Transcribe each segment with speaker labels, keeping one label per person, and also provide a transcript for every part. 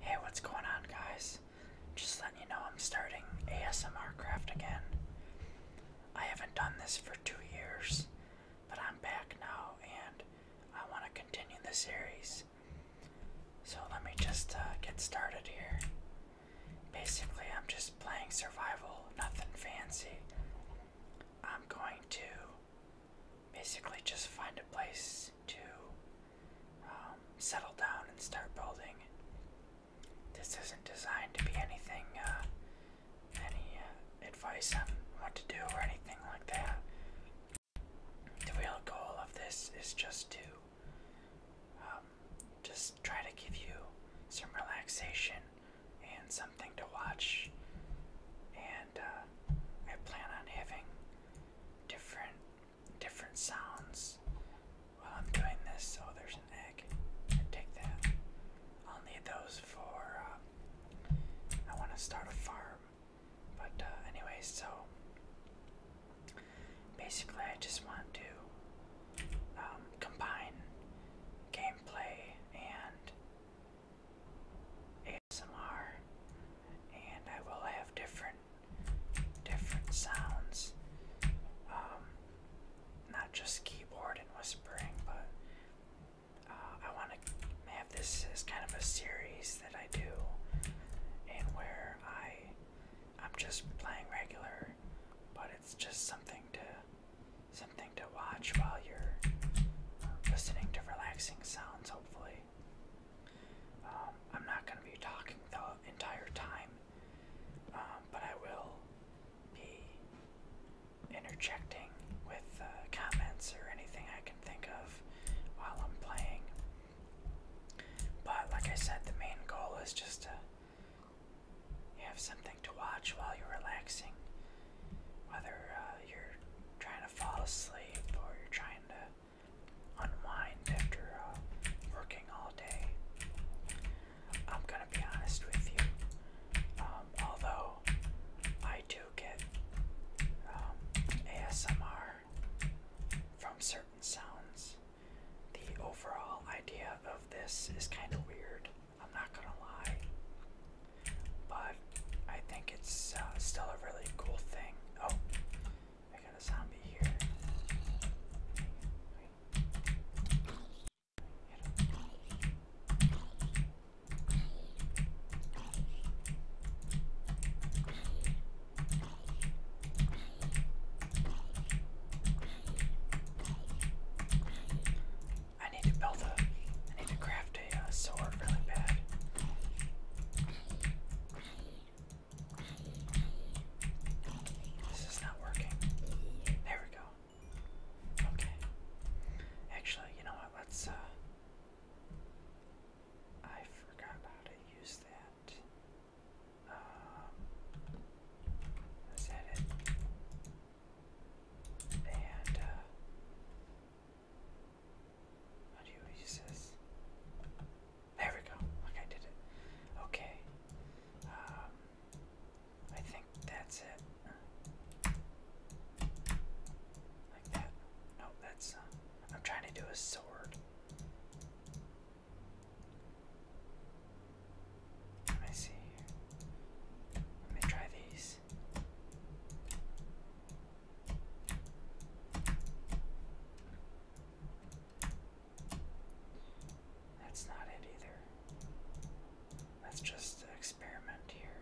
Speaker 1: Hey, what's going on, guys? Just letting you know I'm starting ASMR Craft again. I haven't done this for two years, but I'm back now and I want to continue the series. So let me just uh, get started here. Basically, I'm just playing survival, nothing fancy. I'm going to basically just find a place to um, settle down and start building. This isn't designed to be anything, uh, any uh, advice on what to do or anything like that. The real goal of this is just to um, just try to give you some relaxation and something to watch. And uh, I plan on having different different sounds while I'm doing this. Oh, there's an egg. I take that. I'll need those for. Uh, I want to start a farm, but uh, anyway, so basically, I just want to um, combine gameplay and some ASMR, and I will have different different sounds. Um, not just keyboard and whispering, but uh, I want to have this as kind of a series that I do, and where I I'm just playing regular, but it's just something to something to watch while you're uh, listening to relaxing sounds. Hopefully, um, I'm not going to be talking the entire time, um, but I will be interjecting with uh, comments or anything I can think of while I'm playing. But like I said, the main goal is just to have something to watch while you're relaxing, whether uh, you're trying to fall asleep or you're trying to unwind after uh, working all day. I'm gonna be honest with you. Um, although I do get um, ASMR from certain sounds, the overall idea of this is kind of weird. I'm not gonna lie. But I think it's uh, still a really cool thing. Oh, I got a zombie here. I need to build a. I need to craft yesterday working. There we go. Okay. Actually, you know what? Let's, uh, I forgot how to use that. Um, that it? uh. How do you use this? There we go. Okay, I did it. Okay. Um, I think that's it. Like that. No, that's. Uh, I'm trying to do a sword. Let me see Let me try these. That's not it either. That's just experiment here.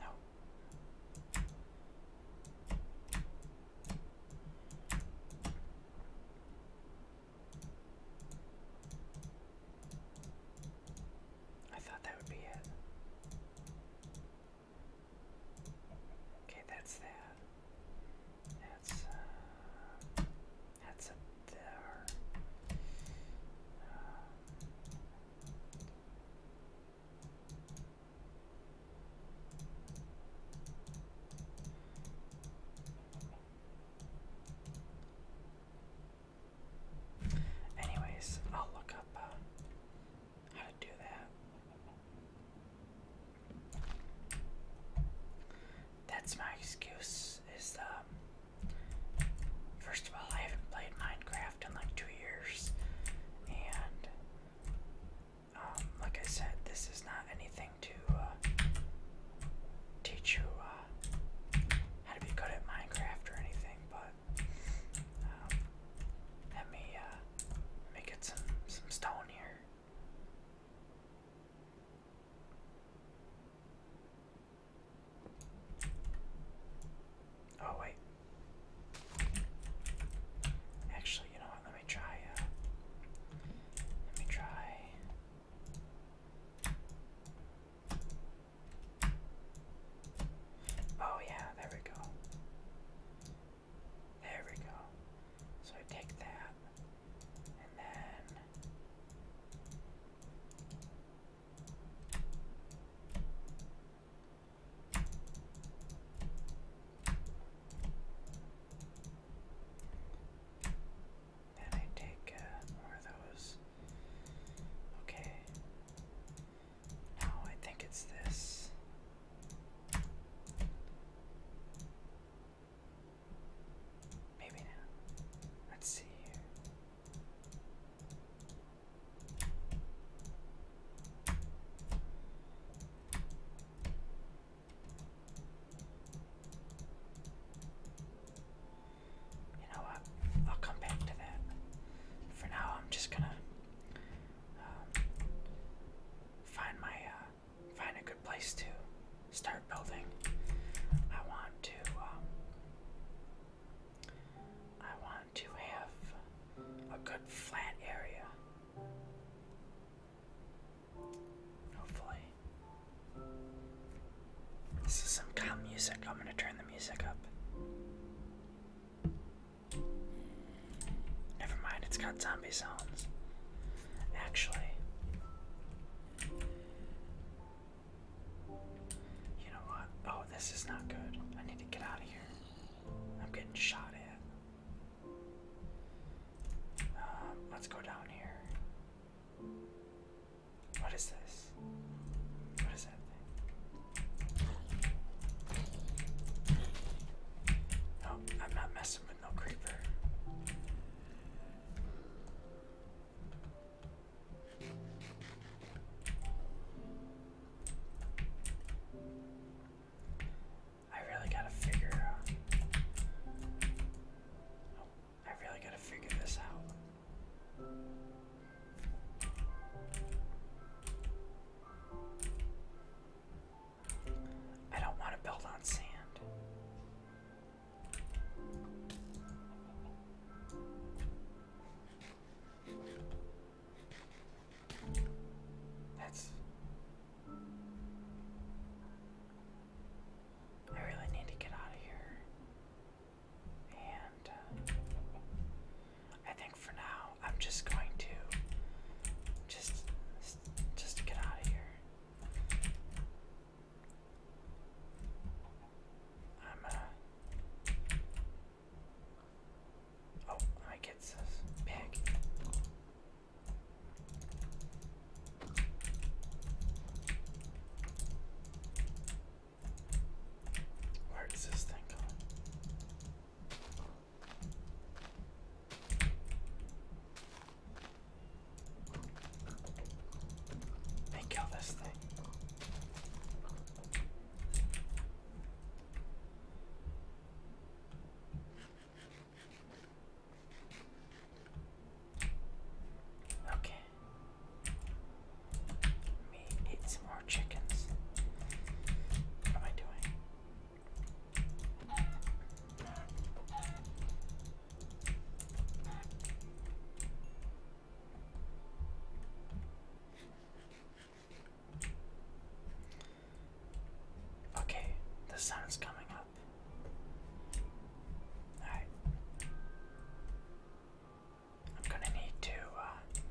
Speaker 1: No. I thought that would be it. Okay, that's that. That's uh, that's up there. Anyways, I'll look up uh, how to do that. That's my excuse. Is um, first of all, I haven't played Minecraft in like two years, and um, like I said, this is not anything to uh, teach you uh, how to be good at Minecraft or anything, but um, let me uh, let some some stone here. Oh wait. Actually, you know what? Let me try. Uh, let me try. Oh, yeah, there we go. There we go. So I take that, and then. Then I take uh, those Okay. No, I think it's this. Maybe not. Let's see you know what? I'll come back to that. For now, I'm just gonna um, find my uh, find a good place to start building. I want to. Um, I want to have a good flat area. Hopefully. This is some calm music. I'm gonna turn the music up. Never mind, it's got zombie sounds. Actually, you know what? Oh, this is not good. I need to get out of here. I'm getting shot at. Uh, let's go down here. What is this? What is that thing? No, I'm not messing with no creeper. I really gotta figure uh, I really gotta figure this out. I don't want to build on sand. That's. I really need to get out of here. And uh, I think for now I'm just going to just just get out of here. I'm going uh, Oh, I get this pig. Where is this thing going? They kill this thing. Okay me eat some more chickens. What am I doing? Okay, the sun's coming up. Alright. I'm gonna need to uh,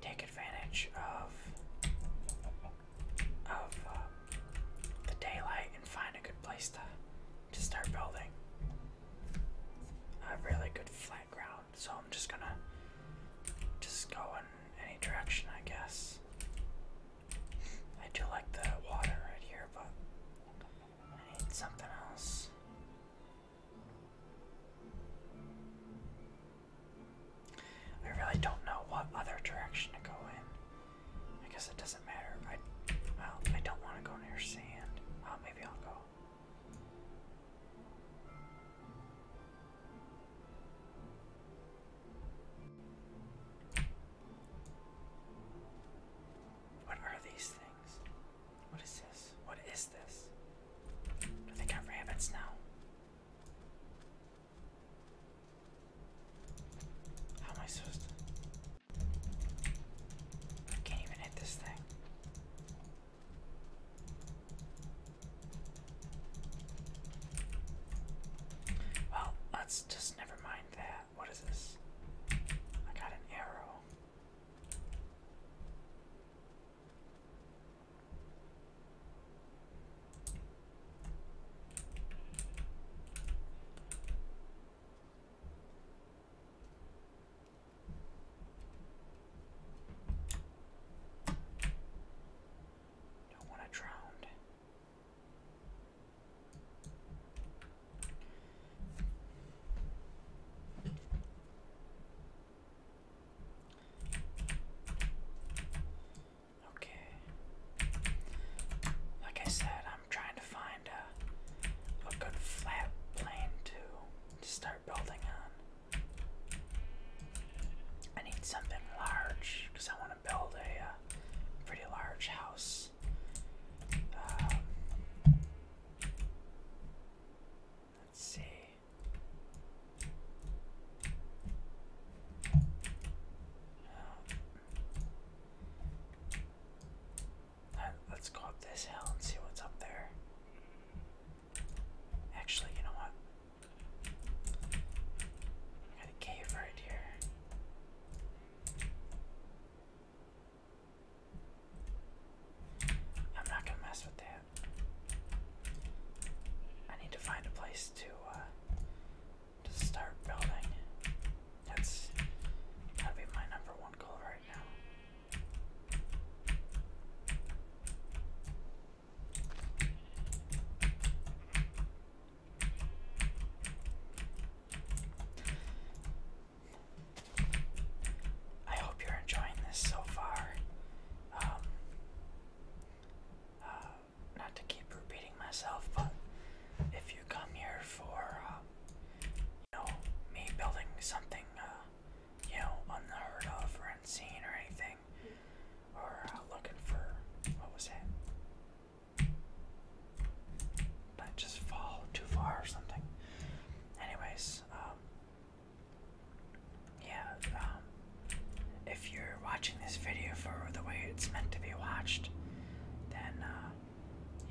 Speaker 1: take advantage of of uh, the daylight and find a good place to to start building a really good flat ground. So I'm just gonna just go in any direction, I guess. I do like the water right here, but I need something else. I really don't know what other direction to go in. Because it doesn't matter. I well, I don't want to go near sand. Well, maybe I'll go. What are these things? What is this? What is this? Do they got rabbits now? How am I supposed to? I can't even hit this thing. Well, let's just never mind that. What is this? I got an arrow. Don't want to drown. Okay. Like I said, I'm trying to find a, a good flat plane to, to start building on. I need something large because I want to build a uh, pretty large house let's see. let's go up this hill and see what's up there. Actually, you know what? got a cave right here. I'm not gonna mess with that. I need to find a place to uh, to start building. That's gotta be my number one goal right now. I hope you're enjoying this so far. Um, uh, not to keep repeating myself, but if you come here for, um, you know, me building something, uh, you know, unheard of or unseen or anything, or uh, looking for, what was it? not just fall too far or something. Anyways, um, yeah, um, if you're watching this video for the way it's meant to be watched, then uh,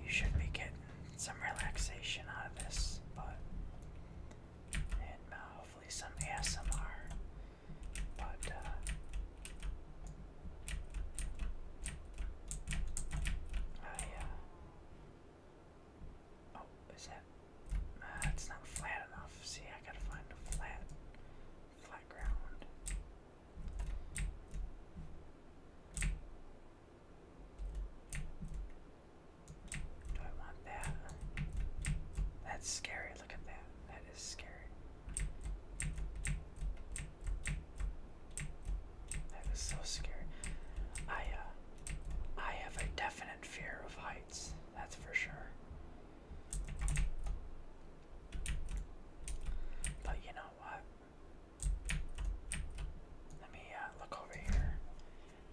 Speaker 1: you should be getting some relaxation out of this, but and uh, hopefully some ASMR. But uh, uh Oh, is that? it's not flat enough. See, I gotta find a flat, flat ground. Do I want that? That's scary. Look at that. That is scary. That is so scary. I uh, I have a definite fear of heights, that's for sure. But you know what? Let me uh, look over here.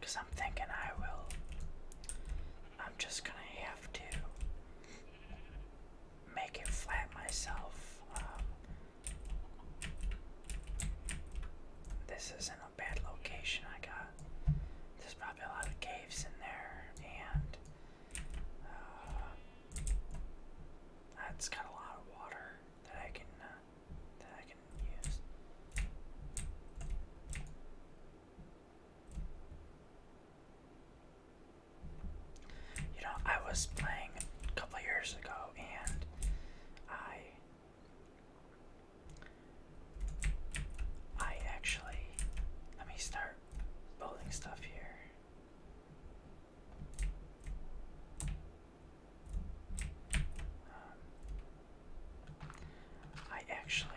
Speaker 1: Cause I'm thinking I will I'm just gonna have to make it flat myself. Um, this isn't a bad location I got. There's probably a lot of caves in there, and uh, that has got a lot of water that I can uh, that I can use. You know, I was playing a couple years ago and I I actually let me start building stuff here. Um, I actually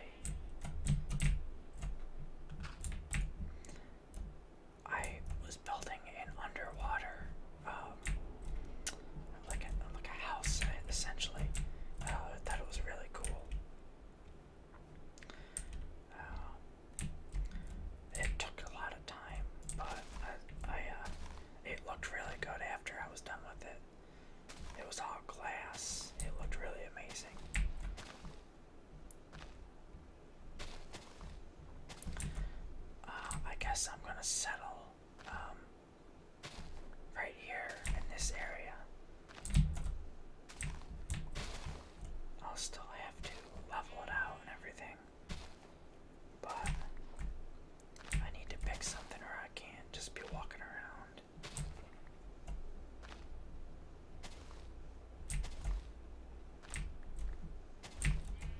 Speaker 1: I was building an underwater, um, like a like a house essentially. Uh, I thought it was really cool. Uh, it took a lot of time, but I, uh, it looked really good after I was done with it. It was all glass. It looked really amazing. Uh, I guess I'm gonna settle um, right here in this area. I'll still have to level it out and everything, but I need to pick something or I can't just be walking around.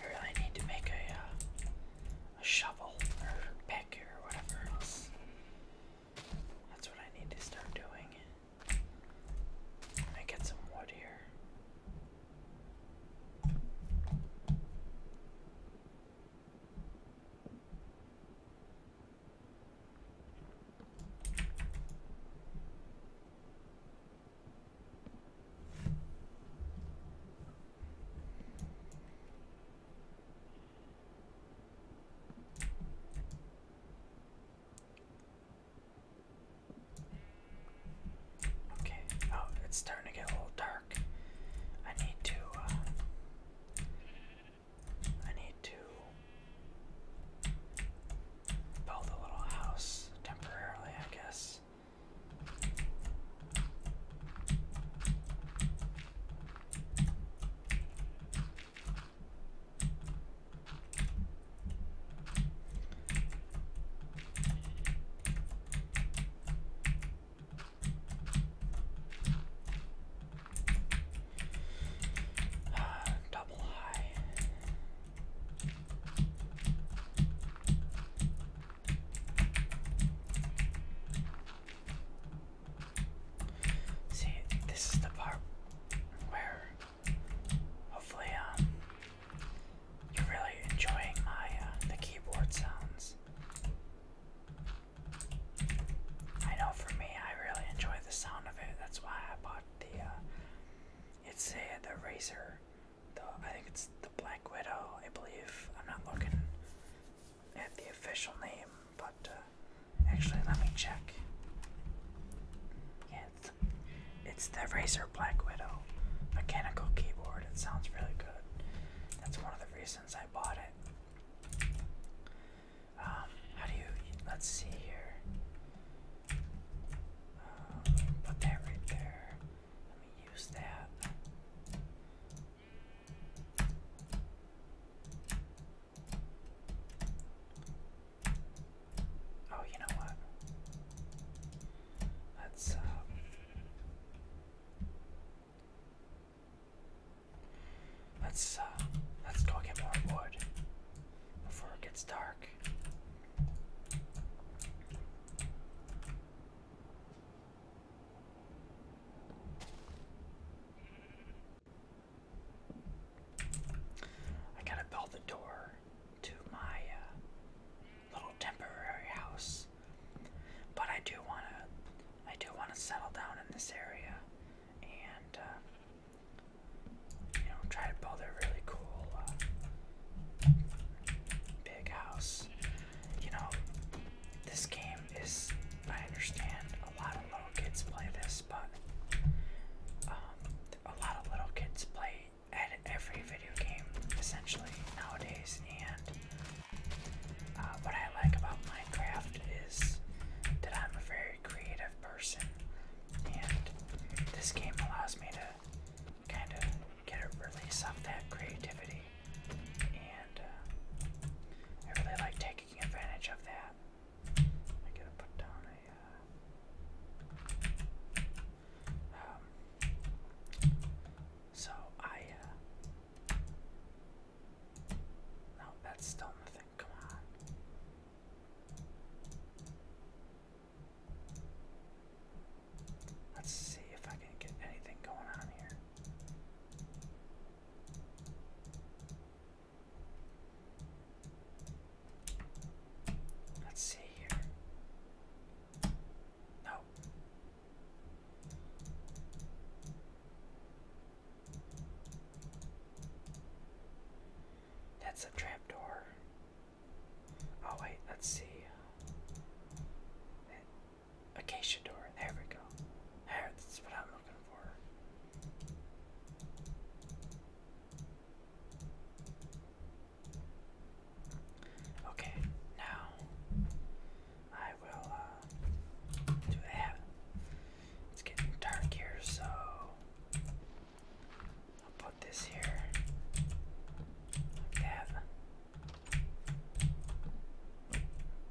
Speaker 1: I really need to make a uh, a shovel or pick here or whatever else. That's what I need to start doing. Let me get some wood here. Okay, oh, it's starting to get a little dark. I need to, uh, I need to Build a little house temporarily, I guess double high. See, this is the part where hopefully um you're really enjoying my uh, the keyboard sounds. I know for me, I really enjoy the sound of it. That's why I bought the uh, it's uh, the razor. The I think it's the Black Widow. I believe I'm not looking at the official name, but uh, actually let me check. Yeah, it's, it's the Razer Black Widow mechanical keyboard. It sounds really good. That's one of the reasons I bought it. Um, how do you? Let's see here. Um, put that right there. Let me use that. Oh, you know what? Let's, uh, Let's uh, let's go get more wood before it gets dark. I gotta build the door to my uh, little temporary house, but I do wanna, I do wanna settle down in this area and uh, you know try to build a really cool uh, big house. You know, this game is I understand a lot of little kids play this, but um, a lot of little kids play at every video game essentially nowadays and. Uh, what I like about Minecraft is that I'm a very creative person and this game allows me to kind of get a release of that creativity, and uh, I really like taking advantage of that. I gotta put down a. Uh, um, so I. Uh, no, that's still nothing. Come on. Let's see if I can get anything going on here. Let's see here. No. That's a trapdoor. Oh, wait, let's see. acacia door. There we go. There, that's what I'm looking for. Okay, now I will uh, do that. It's getting dark here, so I'll put this here like that.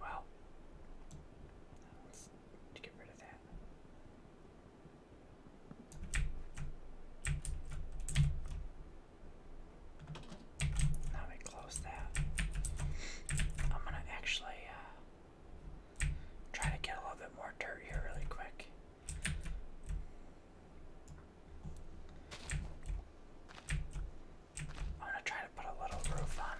Speaker 1: Well, let's get rid of that. Now we close that. I'm gonna actually uh, Try to get a little bit more dirt here really quick. I'm gonna try to put a little roof on it.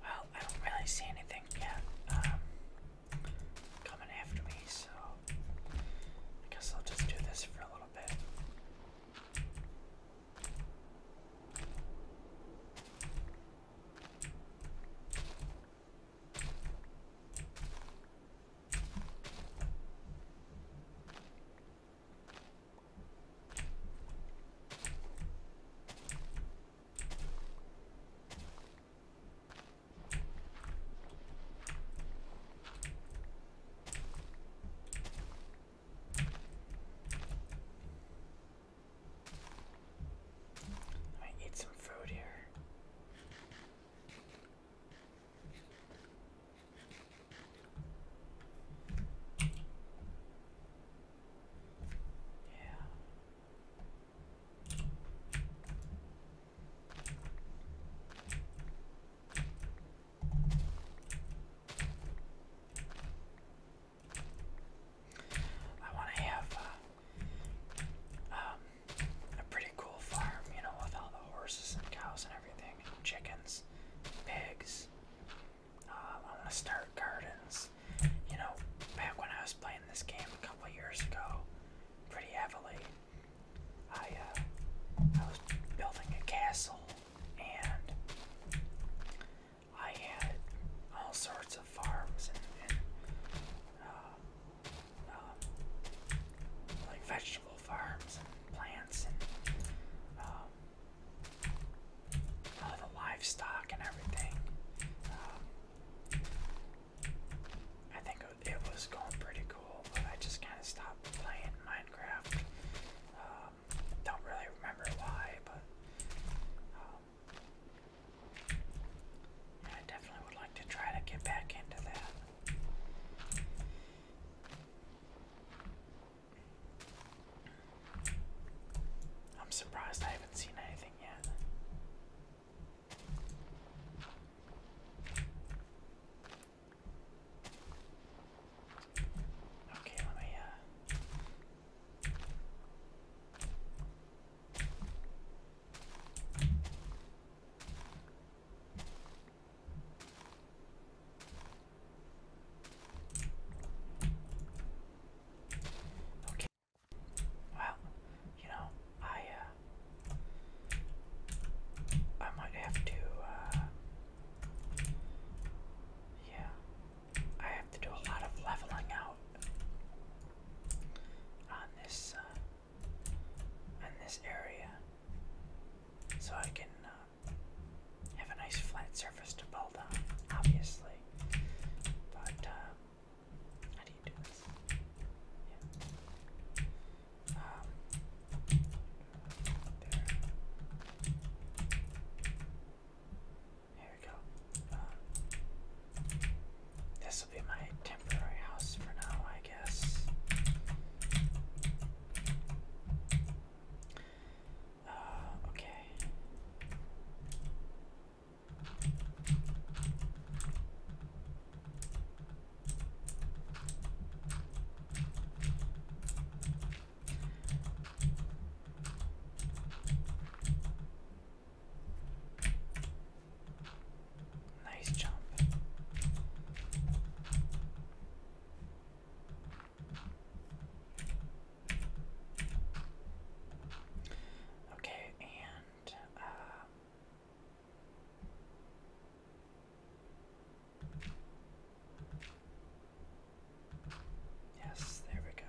Speaker 1: Well, I don't really see anything yet um, coming after me, so I guess I'll just do this for a little bit. I need some food here. I want to have uh, um, a pretty cool farm, you know, with all the horses and cows and everything chickens, pigs. Um, I want to start gardens. You know, back when I was playing this game a couple years ago, pretty heavily, I, uh, I was building a castle and I had all sorts of farms and, uh, um, like vegetable farms plants um, all the livestock and everything. Um, I think it was going pretty cool, but I just kind of stopped playing Minecraft. Um, don't really remember why, but um, I definitely would like to try to get back into that. I'm surprised I haven't seen anything yet. Okay, let me, uh. Okay. Well, you know, I uh, I might have to uh, yeah. I have to do a lot of leveling out on this uh, on this area so I can have a nice flat surface to build on, obviously. But um, how do Um, there. There we go. Um, this will be my temporary house for now, I guess. Uh, okay. Nice jump. Okay, and uh, yes, there we go.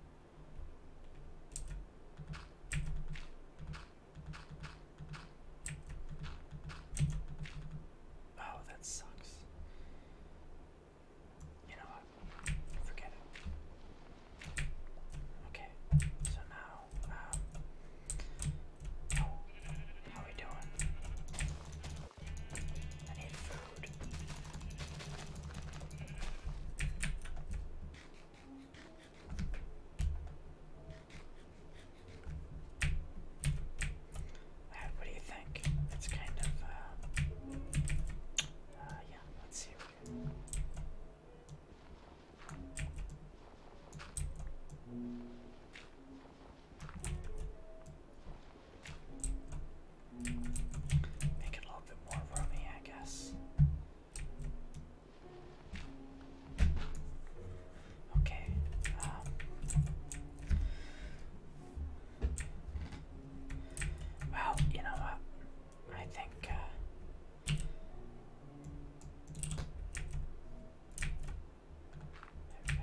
Speaker 1: Oh, that sucks. You know what? Forget it. Okay, so now, um, oh, how are we doing? I need food. Right, what do you think? It's kind of, uh, uh yeah, let's see. Make it a little bit more roomy, I guess. Okay. Um, you know what? I think. Uh, there we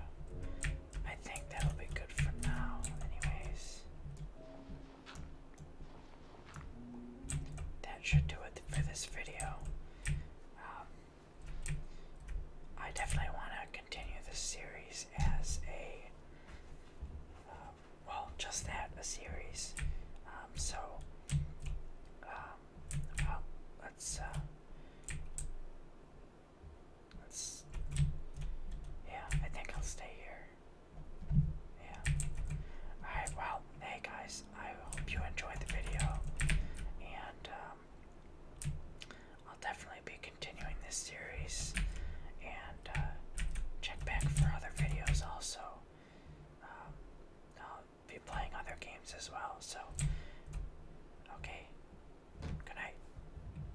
Speaker 1: go. I think that'll be good for now, anyways. That should do it for this video. Um, I definitely want to continue this series as a. Uh, well, just that, a series. Um, so, um, let's, uh, yeah, I think I'll stay here. Yeah. Alright, well, hey guys, I hope you enjoyed the video. And, um, I'll definitely be continuing this series. And, uh, check back for other videos also. Um, I'll be playing other games as well, so. Okay. Good night.